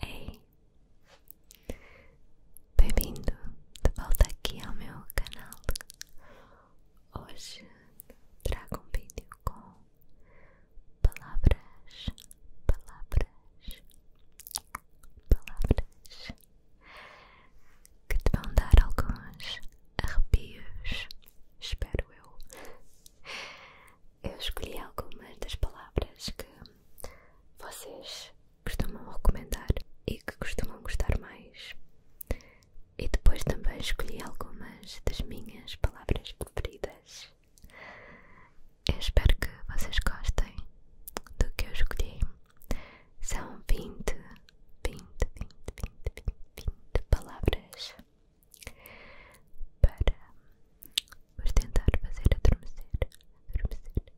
Ei, bem-vindo de volta aqui ao meu canal. Hoje trago um vídeo com palavras, palavras, palavras que te vão dar alguns arrepios, espero eu eu escolhi algumas das palavras que vocês costumam recomendar e que costumam gostar mais. E depois também escolhi algumas das minhas palavras preferidas. Eu espero que vocês gostem do que eu escolhi. São 20, 20, 20, 20, 20, palavras para os tentar fazer adormecer, adormecer, adormecer.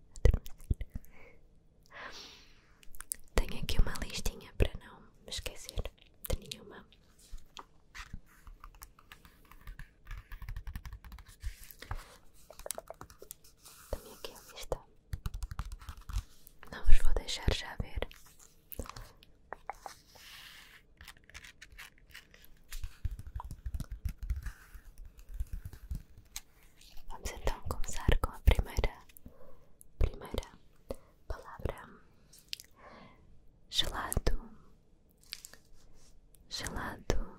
Tenho aqui uma listinha para não me esquecer de nenhuma. Tenho aqui a lista. Não vos vou deixar já ver Vamos então começar com a primeira, primeira palavra: gelado, gelado,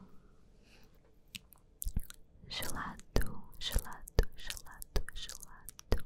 gelado, gelado, gelado, gelado,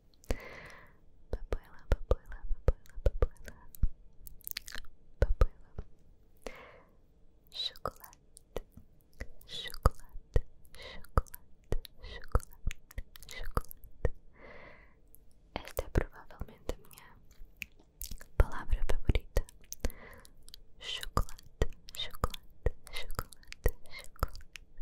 Papai lá, papai lá, papai lá, Chocolate, chocolate, chocolate, chocolate, chocolate. Esta é provavelmente a minha palavra favorita. Chocolate, chocolate, chocolate, chocolate.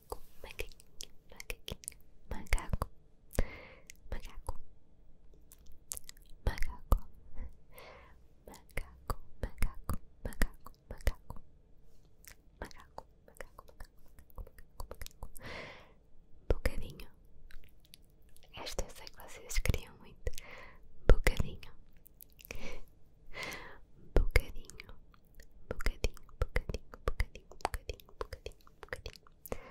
macaco, macaquinho, macaquinho, macaco, macaco, macaco, macaco, macaco, macaco, macaco, macaco, macaco, macaco, macaco, bocadinho. Esta eu sei que vocês queriam muito. Bocadinho. Bocadinho, bocadinho, bocadinho, bocadinho, bocadinho, bocadinho, bocadinho.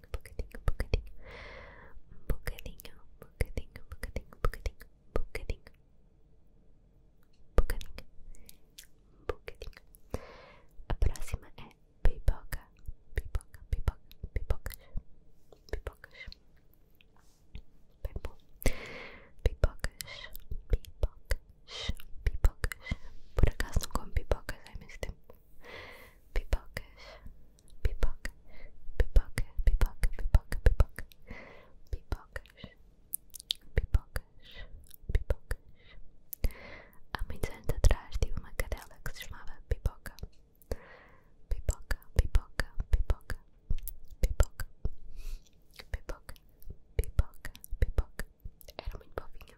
bocadinho, bucadinho bucadinho bucadinho bucadinho bucadinho bucadinho bucadinho A próxima é pipoca, pipoca, pipoca, pipoca pipocas. Bem bom. Pipocas, pipocas, pipocas. Por acaso não como pipoca há imenso tempo? pipocas, pipoca, pipoca, pipoca, pipoca, pipoca, pipocas, pipocas, pipocas. Há muitos anos atrás tive uma cadela que se chamava Pipoca, pipoca, pipoca, pipoca, pipoca, pipoca, pipoca, pipoca. Era muito fofinha.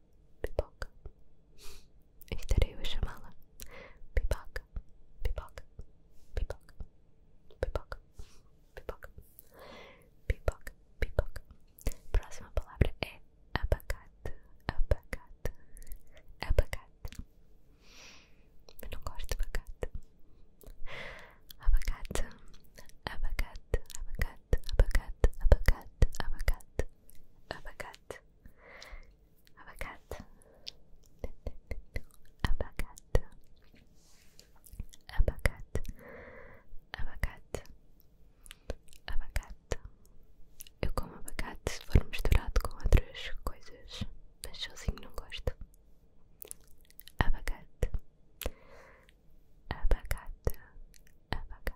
pipoca. Estarei eu a chamá-la pipoca, pipoca, pipoca, pipoca, pipoca, pipoca, pipoca. Próxima palavra é abacate, abacate, abacate. Eu não gosto de abacate. Abacate, abacate, abacate, abacate, abacate, abacate, abacate abacate, abacate, abacate, abacate, abacate. Eu como abacate se for misturado com outras coisas, mas sozinho não gosto. Abacate, abacate, abacate.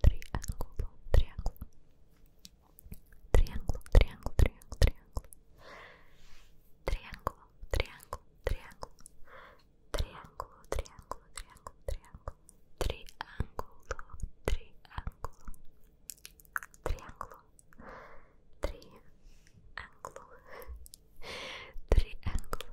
triángulo, triángulo, triángulo, triángulo, triángulo, triángulo, triángulo, triángulo, triángulo, triángulo, triángulo, triángulo, triángulo, triángulo, triángulo, triángulo, triángulo, triángulo.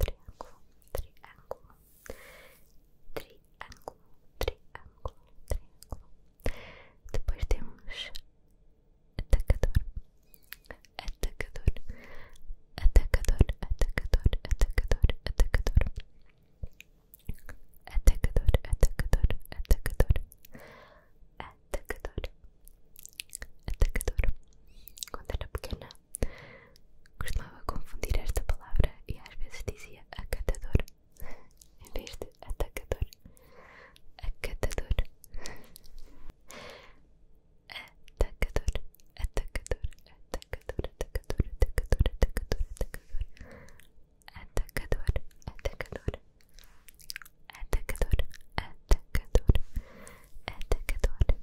triângulo, triângulo, triângulo, triângulo, triângulo, triângulo. Depois temos atacador, atacador, atacador, atacador, atacador, atacador, atacador, atacador, atacador, atacador, atacador. Quando era pequena Costumava confundir esta palavra e às vezes dizia acatador em vez de atacador. Acatador. Atacador, atacador, atacador, atacador, atacador, atacador, atacador. Atacador, atacador. Atacador, atacador. Atacador,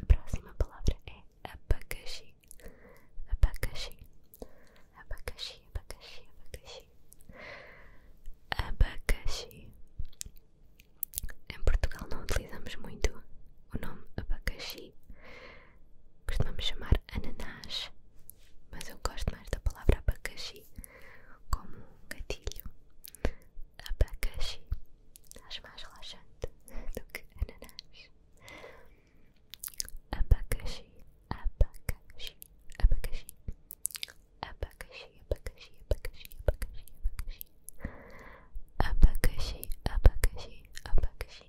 A próxima palavra é abacaxi. Abacaxi. Abacaxi, abacaxi, abacaxi. Abacaxi. Em Portugal não utilizamos muito o nome abacaxi. Costumamos chamar ananás, mas eu gosto mais da palavra abacaxi como um gatilho. Abacaxi. Acho mais relaxante do que ananás. Abacaxi, abacaxi, abacaxi. Abacaxi, abacaxi, abacaxi, abacaxi, abacaxi. Abacaxi, abacaxi, abacaxi,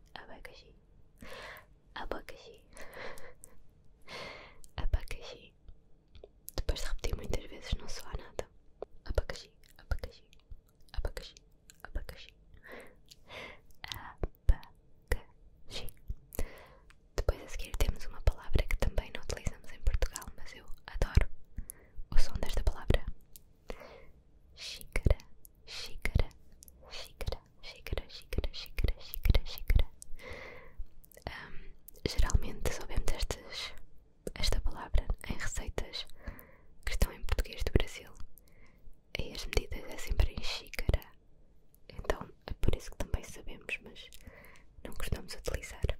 abacaxi, abacaxi. Abacaxi. Depois de repetir muitas vezes não soa nada. Abacaxi, abacaxi, abacaxi, abacaxi, abacaxi. Depois a seguir temos uma palavra que também não utilizamos em Portugal, mas eu adoro o som desta palavra. Xícara, xícara, xícara, xícara, xícara, xícara, xícara, xícara. Um, geralmente soubemos estas esta palavra em receitas que estão em português do Brasil e as medidas é sempre em xícara então é por isso que também sabemos mas não costumamos utilizar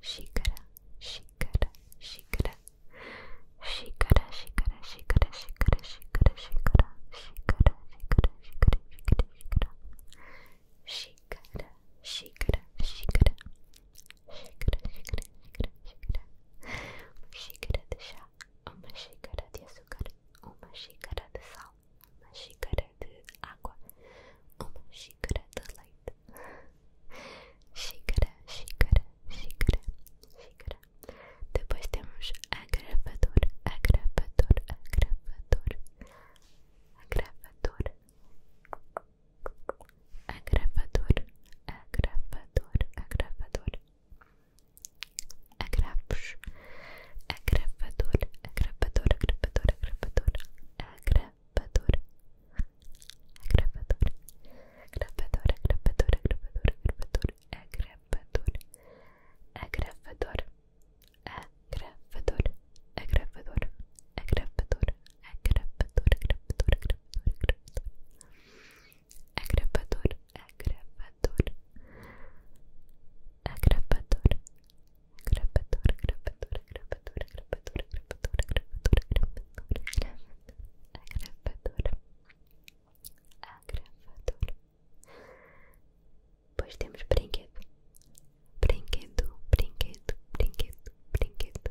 xícara, xícara, xícara xícara, xícara, xícara, xícara, xícara, xícara, xícara, xícara, xícara, xícara, xícara xícara, xícara, xícara xícara, xícara, xícara, xícara. Uma xícara de chá, uma xícara de açúcar, uma xícara de sal, uma xícara de água, uma xícara de leite. Xícara, xícara, xícara, xícara. Depois temos agravador, agravador, agravador, agravador a gravadora, a gravadora, a gravadora, a gravos, a gravadora, a gravadora, a gravadora, a gravadora, a gravadora, a gravadora, a gravadora, a gravadora, a gravadora, a gravadora, a gravadora, a gravadora, a gravadora, gravadora, gravadora, gravadora, a gravadora, a gravadora, a gravadora, a gravadora, gravadora, Pois temos brinquedo, brinquedo, brinquedo, brinquedo, brinquedo,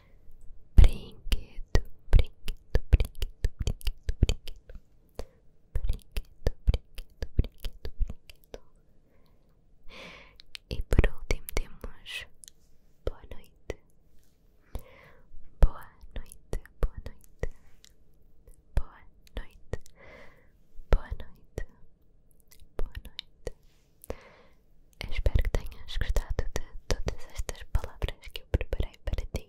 brinquedo, brinquedo, brinquedo, brinquedo, brinquedo, brinquedo, brinquedo, brinquedo, brinquedo. E por último temos boa noite, boa noite, boa noite, boa noite, boa noite, boa noite. espero que tenhas gostado de todas estas palavras que eu preparei para ti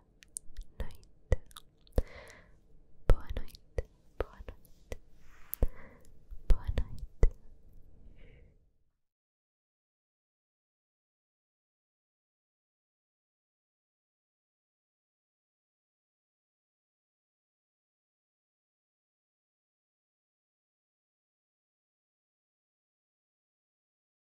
noite. Boa noite. Boa noite. Boa noite.